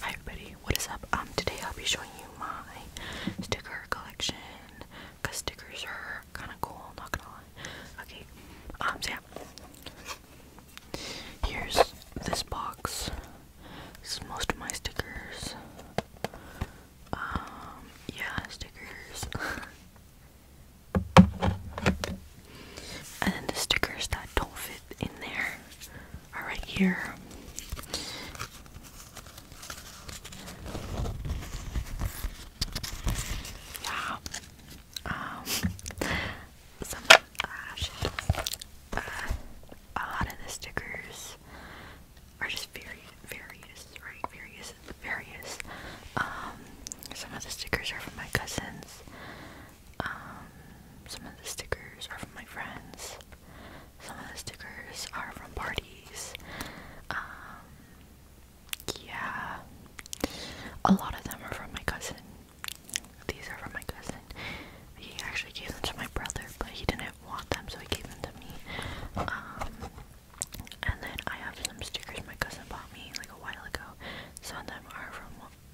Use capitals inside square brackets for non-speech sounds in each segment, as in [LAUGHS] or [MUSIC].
Hi everybody, what is up? Um, today I'll be showing you my sticker collection, cause stickers are kind of cool, not gonna lie. Okay, um, yeah, here's this box. This is most of my stickers. Um, yeah, stickers. [LAUGHS] And then the stickers that don't fit in there are right here. Yeah. Um some ah, shit. Uh, a lot of the stickers are just very various, Various various. Um some of the stickers are from my cousins. Um, some of the stickers are from my friends. Some of the stickers are from parties. Um, yeah. A lot of them are from my cousin. These are from my cousin. He actually gave them to my brother, but he didn't want them, so he gave them to me. Um, and then I have some stickers my cousin bought me like a while ago. Some of them are from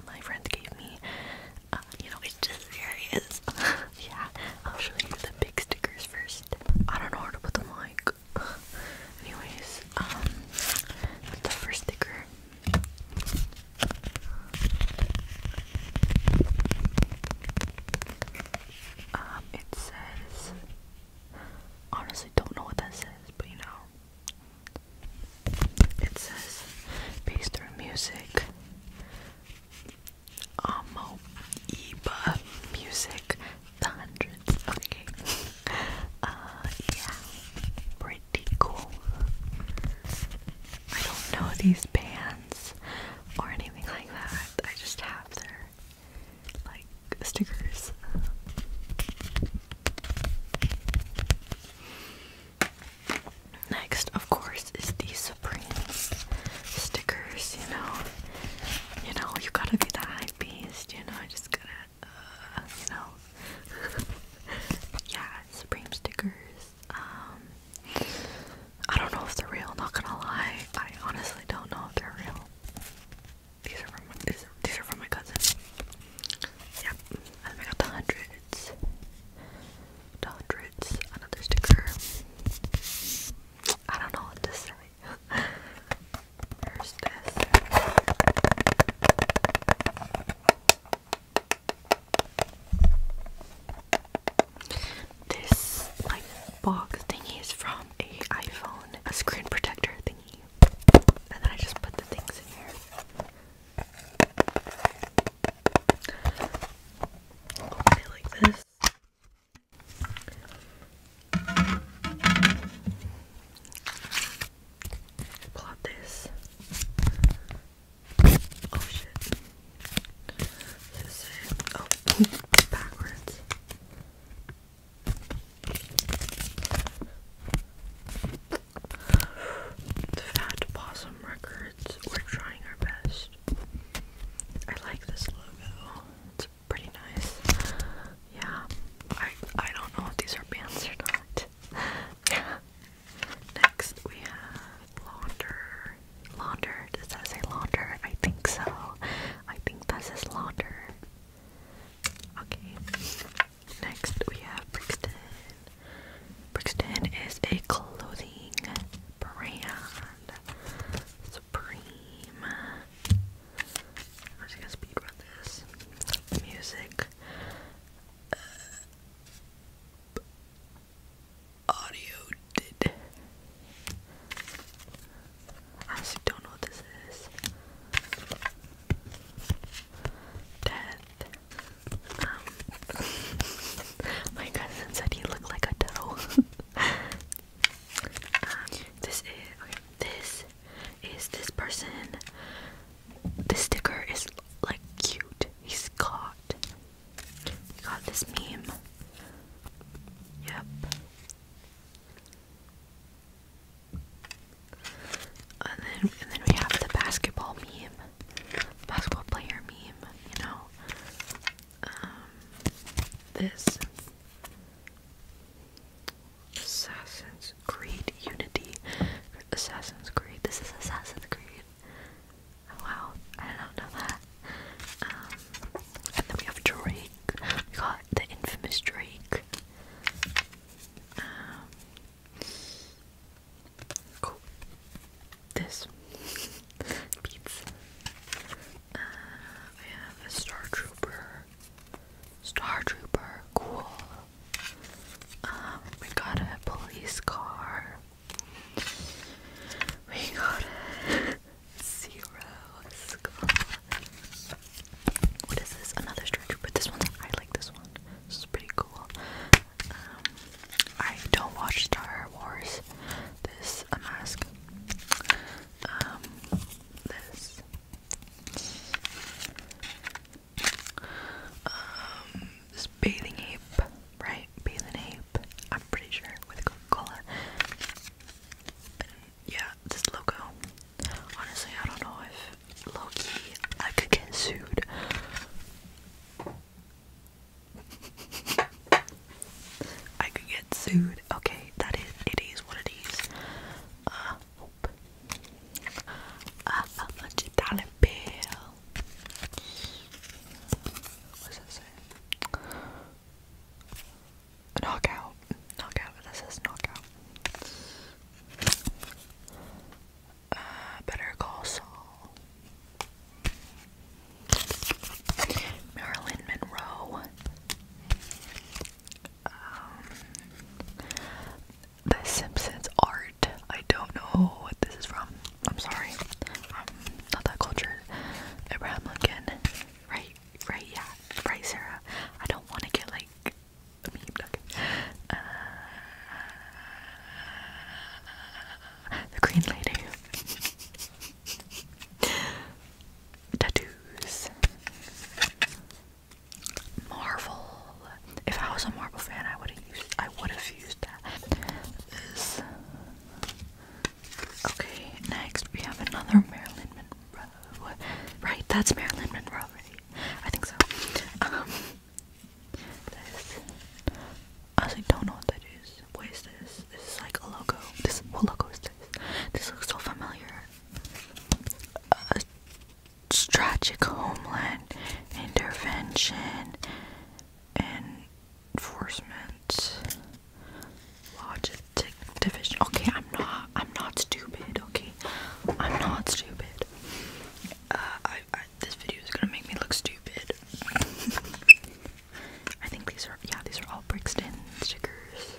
my friend gave me. Uh, you know, it's just here it is. yeah, I'll show you the big stickers first. I don't know where to put them like. [LAUGHS] Anyways, um, the first sticker. Um, it says. Honestly, don't know what that says, but you know, it says based through music. Amo music. The hundreds. Okay. [LAUGHS] Uh, yeah. Pretty cool. I don't know these bands or anything like that. I just have their like stickers. Next, of course, is the Supreme stickers. You know, you know, you gotta be the hype You know, I just gotta, uh, you know. [LAUGHS] yeah, Supreme stickers. Um, I don't know if they're real. Not gonna lie, I honestly don't know if they're real. These are from is, these are from my cousin. Yep, then I got the hundreds, the hundreds. Another sticker. I don't know what to say. There's this. This box thingy is from a iPhone, a screen protector thingy. And then I just put the things in here. like this. Pull this. Oh shit. Oh, [LAUGHS] backwards. The Fat Possum Records. We're trying our best. I like this logo. It's pretty nice. Yeah. I I don't know if these are bands or not. [LAUGHS] Next we have Launder. Launder. Does that say Launder? I think so. I think that's his launder. Okay. Next we have Brixton. Brixton is a clothing brand. Supreme. I'm just gonna speed this. Music audio did. I actually don't know what this is. Death. Um, [LAUGHS] my cousin said he looked like a doe. [LAUGHS] Um, this is This is this person. The sticker is like cute. He's caught. You got this meme. Yep. And then and then we have the basketball meme. Basketball player meme, you know. Um, this Assassin's Creed Unity. Assassin's Creed. This is Assassin's Creed. Oh, wow, I don't know that. Um, and then we have Drake. We got the infamous Drake. Um, cool. This [LAUGHS] beats. Uh, we have a Star Trooper. Star Trooper, cool. Um, we got a police car. We got [LAUGHS] zero What is this? Another stretcher, but this one I like this one. This is pretty cool. Um, I don't watch Star Wars. This mask. Um, this. Um, this bathing ape, right? Bathing ape, I'm pretty sure, with Coca-Cola. Yeah, this logo. Honestly, I don't know if Loki. I could get sued. [LAUGHS] I could get sued. Okay, that is it is what it is. Uh, uh a hundred dollar bill. What's it say? Knockout. Knockout. This is knockout. Uh, Better Call Saul. Marilyn Monroe. Um, the Simpsons art. I don't know what this is from. I'm sorry. I'm um, not that cultured. Abraham Lincoln. Right, right, yeah. Right, I don't want to get like uh, the Green Lady. [LAUGHS] Tattoos. Marvel if I was a Marvel fan, I would have used. I would have used that. This. Okay, next we have another Marilyn Monroe. Right, that's Marilyn Monroe. I think so. Um, this. I don't know what that is. What is this? This is like a logo. This what logo is this? This looks so familiar. Uh, Strategic homeland intervention enforcement logistic division okay i'm not i'm not stupid okay i'm not stupid uh, this video is gonna make me look stupid [LAUGHS] i think these are yeah these are all brixton stickers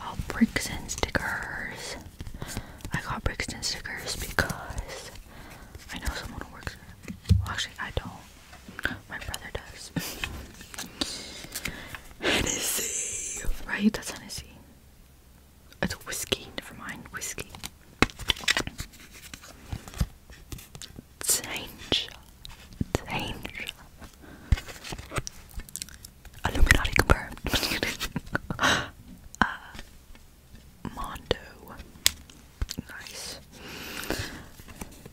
all brixton stickers I got Brixton stickers because I know someone who works there. actually, I don't. My brother does. Hennessy! Right? That's Hennessy. It's whiskey. Never mind. Whiskey. Change. Change. Illuminati confirmed. [LAUGHS] uh, Nice.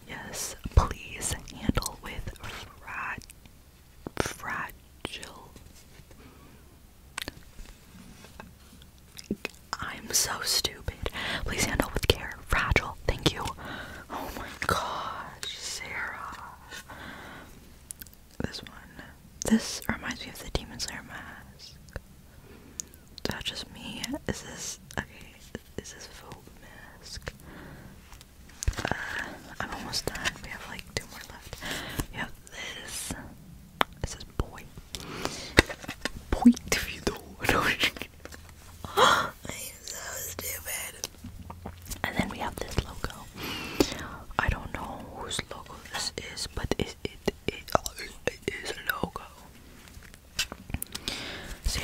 Yes, please handle with fragile. I'm so stupid. Please handle with care. Fragile. Thank you. Oh my gosh, Sarah this one. This reminds me of the Demon Slayer mask. That's just me? Is this okay? Is this full mask? Uh, I'm almost done. We have like two more left. We have this. This is boy. Point to you though. [LAUGHS] I am so stupid. And then we have this logo. I don't know whose logo this is, but it it it oh, is a logo. So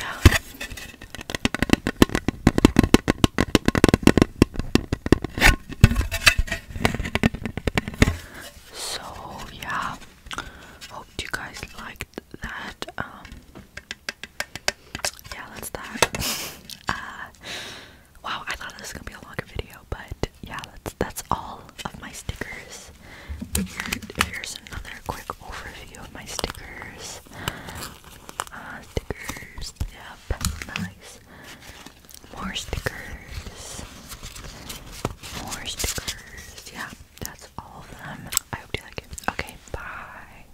yeah. Hope you guys liked that. Um, yeah, that's that. [LAUGHS] Uh, wow, I thought this was gonna be a longer video, but yeah, that's that's all of my stickers. here's another quick overview of my stickers. Uh, stickers, yep, nice. More stickers. More stickers. Yeah, that's all of them. I hope you like it. Okay, bye.